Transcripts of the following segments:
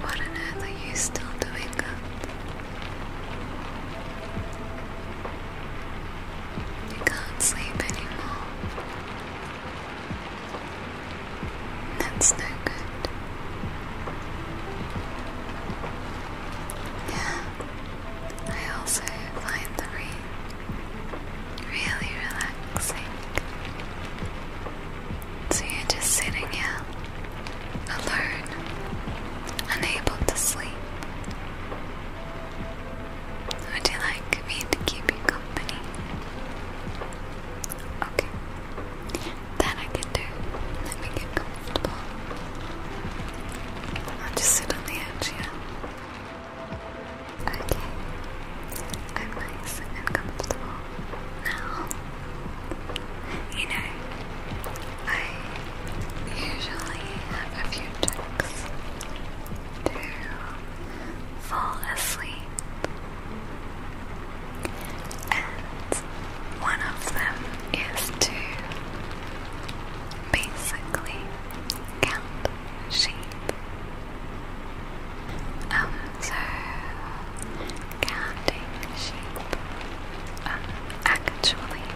What on earth are you still doing You can't sleep anymore. That's no good. Yeah, I also find the rain really relaxing. So you're just sitting here, alone, unable to sleep. Would you like me to keep you company? Okay. That I can do. Let me get comfortable. I'll just sit on the Okay, I'm nice and comfortable now. You know, I usually have a few tricks to fall asleep, and one of them is to basically cat shape. Um, so counting sheep. Um, actually,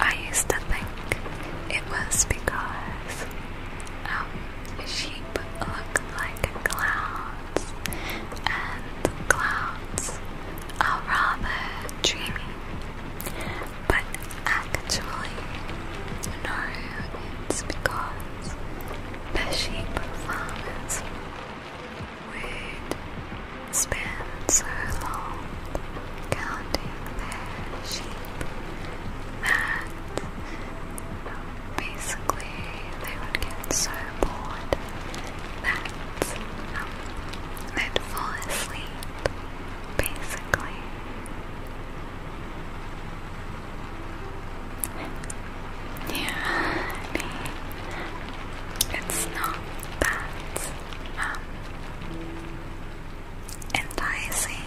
I used to think it was because um, sheep look like clouds, and clouds are rather dreamy but actually, no, it's because the sheep farmers would spend so long counting their sheep that basically they would get so bored that um, they'd fall asleep basically. Yeah, it's not that um, enticing,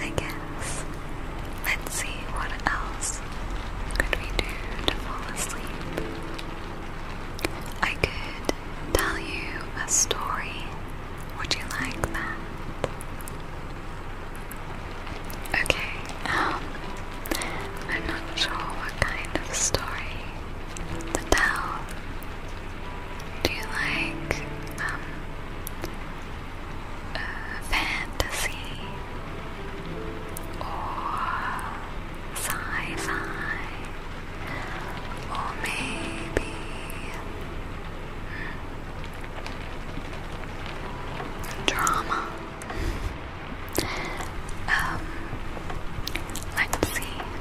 I guess. Let's see what else could we do to fall asleep. I could tell you a story. Would you like that? Okay, um, I'm not sure what kind of story to tell. Do you like, um, fantasy or sci fi? Or maybe drama. Um, let's see. Hmm.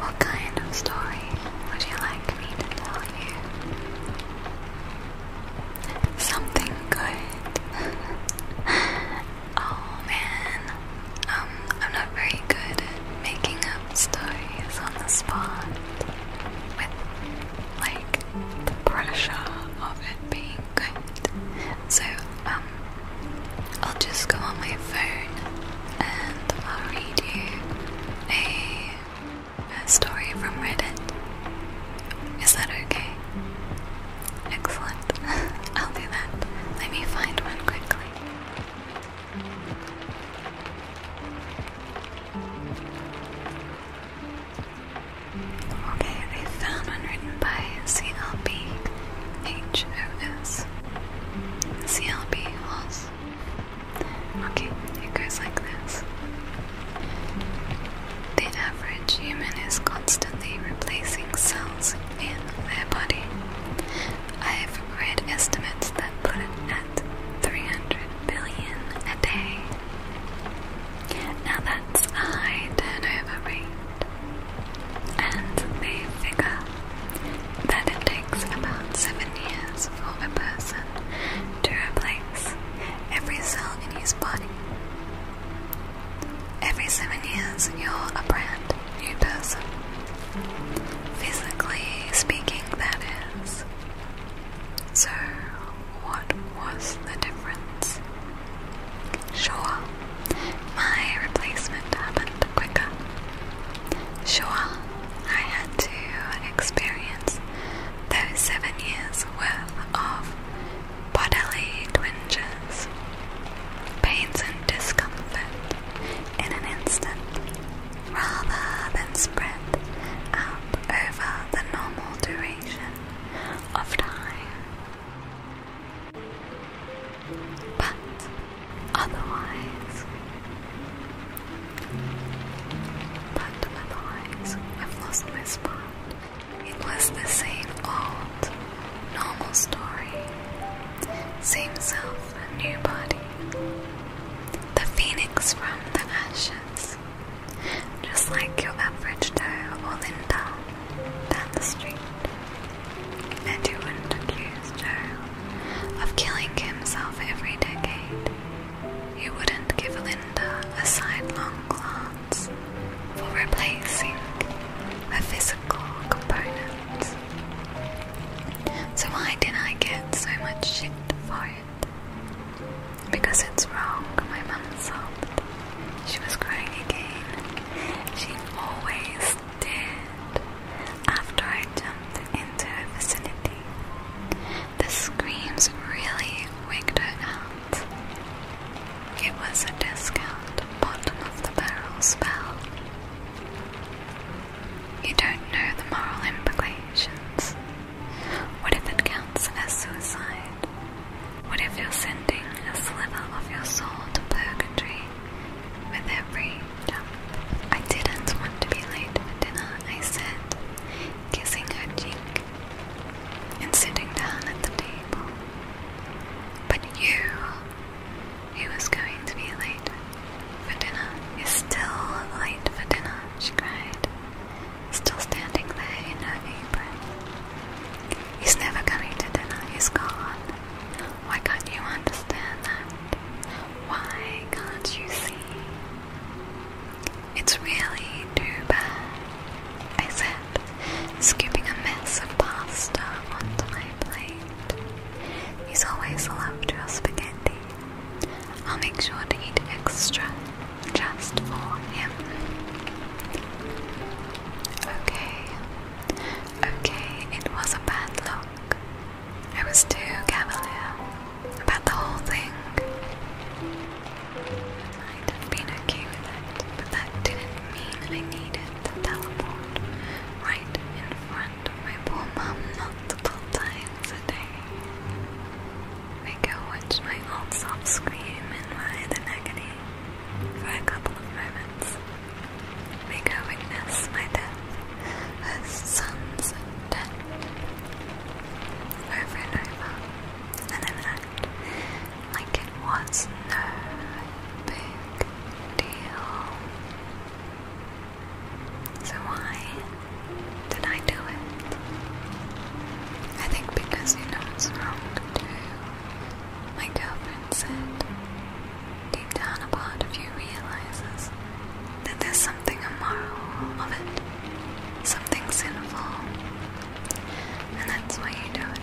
What kind of story would you like me to tell you? Something good. oh man, um, I'm not very good at making up stories on the spot with like the pressure of it being good. So um, I'll just go on my phone and I'll read you a. A story from Reddit. Is that okay? Excellent. I'll do that. Let me find one quickly. Okay, I found one written by CLB HOS. Okay, it goes like this. The average human is constantly replacing cells in their body. I've read estimates that put it at 300 billion a day. Now that's a high turnover rate. And they figure that it takes about seven years for a person to replace every cell in his body. Every seven years, you're a brand new person. Physically speaking, that is. So, what was the difference? Sure, my replacement happened quicker. Sure, I had to experience those seven years worth of bodily twinges, pains and discomfort in an instant, rather than spread out over the normal duration of time. But otherwise, but otherwise, I've lost my spot. It was the same old, normal story. Same self and new body. The phoenix from the ashes. Just like your average Joe or Linda down the street. And you wouldn't accuse Joe of killing himself every decade. You wouldn't give Linda a sidelong glance for replacing a physical component. So, why did I get so much shit for it? Because it's wrong, my mum sobbed. She was crying again. She always did after I jumped into her vicinity. The screams really woke her up. It was a discount bottom of the barrel spell. You don't know the moral implications. What if it counts as suicide? What if you're sending a sliver of your soul to purgatory with every jump? I didn't want to be late for dinner, I said, kissing her cheek and sitting down at the table. But you, he was going to be late for dinner, He's still late for dinner, she cried, still standing there in her apron. He's never coming to dinner, he's gone. Why can't you understand that? Why can't you see? It's really too bad, I said, scooping a mess of pasta onto my plate. He's always loved your spaghetti. I'll make sure to eat extra just for him. Okay, okay, it was a bad look. I was too cavalier about the whole thing. I'd have been okay with it, but that didn't mean I needed to teleport right in front of my poor mum multiple times a day. I go my old self scream and writhe in agony for a couple of moments. May go witness my death, her son's death, over and over, and then act like it was no big deal. So why did I do it? I think because you know it's wrong to My girlfriend said, deep down a part of you realizes that there's something immoral of it, something sinful and that's why you do it.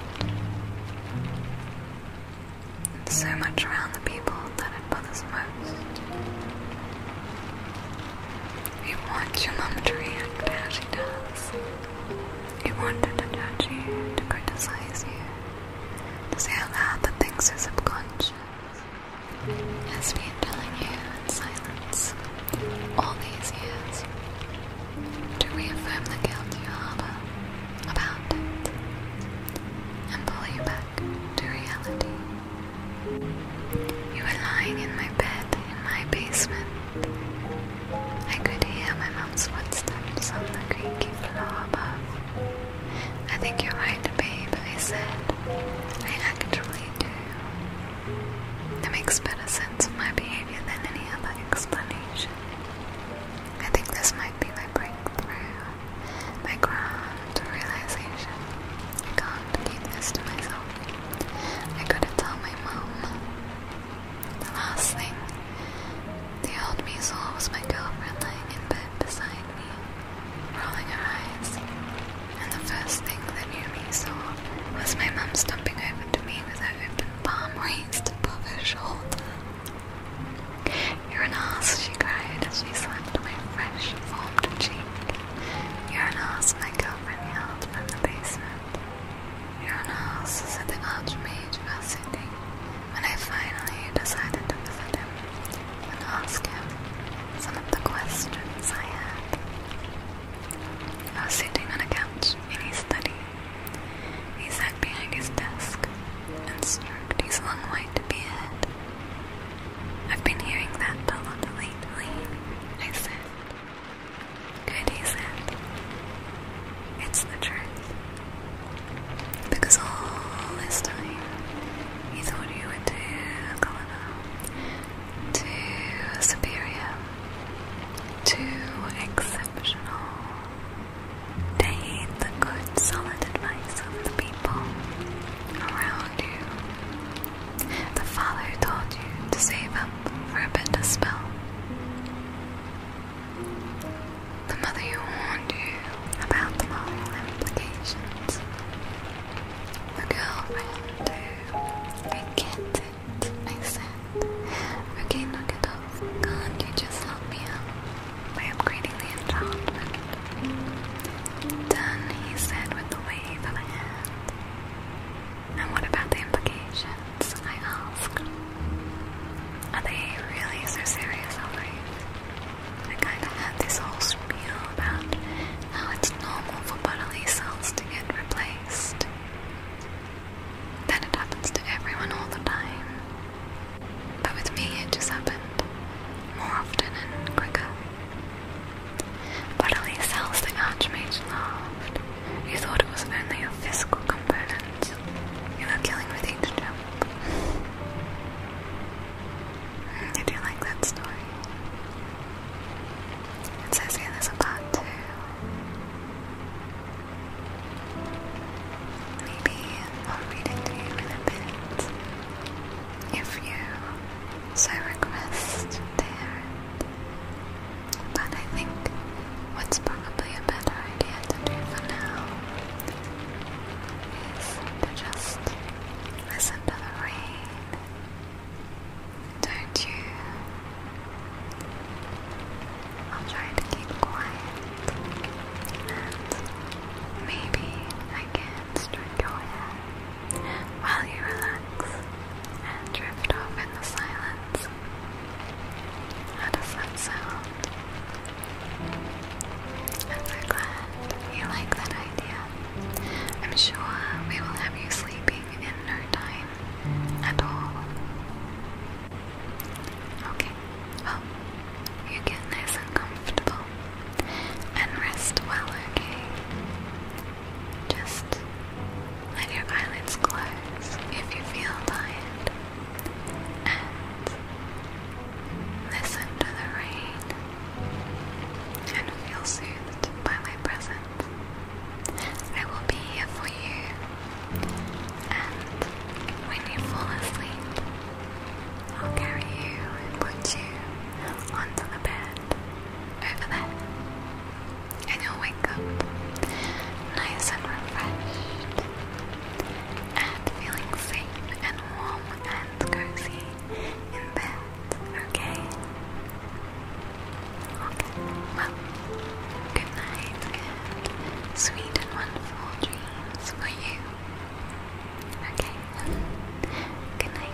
so much around the people that it bothers most. You want your mum to react how she does. You want her to judge you, to criticize you, to say out loud the things her subconscious has been telling you in silence all these years to reaffirm the guilt you harbor about it and pull you back to reality. You were lying in my bed in my basement. I could hear my mom's footsteps on the creaky floor above. I think you're right, babe, I said. I actually do. That makes better sense sense my behavior than any other explanation. I think this might be my breakthrough, my grand realization. I can't keep this to myself. I gotta tell my mom. The last thing the old me saw was my girlfriend lying in bed beside me, rolling her eyes. And the first thing the new me saw was my mum stumping over to me with her open palm raised above her shoulder. You're an ass, she cried as she slapped my fresh, formed cheek. You're an ass, my girlfriend yelled from the basement. You're an ass, said the archmage who was sitting when I finally decided to visit him and ask him some of the questions I had. I was sitting on a couch in his study. He sat behind his desk and stroked his long white beard. I've been hearing that bell lot lately, I said. Good, he said. It's the truth. Because all this time, he thought you were too colonel, to superior, Two exceptional. They the good, solid advice of the people around you. The father who told you to save up for a better spell. The mother who warned you about the moral implications. The girlfriend who, I I said. Okay, knock it off. Can't you just help me up? I'm upgrading the enchantment? Done, he said with a wave of a hand. And what about the implications? I asked. Are they really so serious, I kinda had this whole spiel about how it's normal for bodily cells to get replaced. Then it happens to everyone all the time. But with me, it just happened more often and quicker. Bodily cells the Archmage laughed. You thought it was only a physical component. You were killing with each jump. Mm, I do like that story. It says here there's a part Maybe I'll read it to you in a bit. If you so request, dear. But I think what's probably a better idea to do for now is to just listen to the rain don't you? I'll try to keep quiet and maybe I can stroke your hair while you relax and drift off in the silence. How does that sound? I'm so glad you like that idea. I'm sure we will have you sleeping in no time at all. Okay, well, you get nice and comfortable and rest well, okay? Just let your eyelids close if you feel tired and listen to the rain and feel soothed by my presence. I will be here for you, and when you fall asleep, I'll carry you and put you onto the bed over there, and you'll wake up nice and refreshed, and feeling safe and warm and cozy in bed, okay? Well, good night, sweet and wonderful dreams for you. Okay, good night, good night.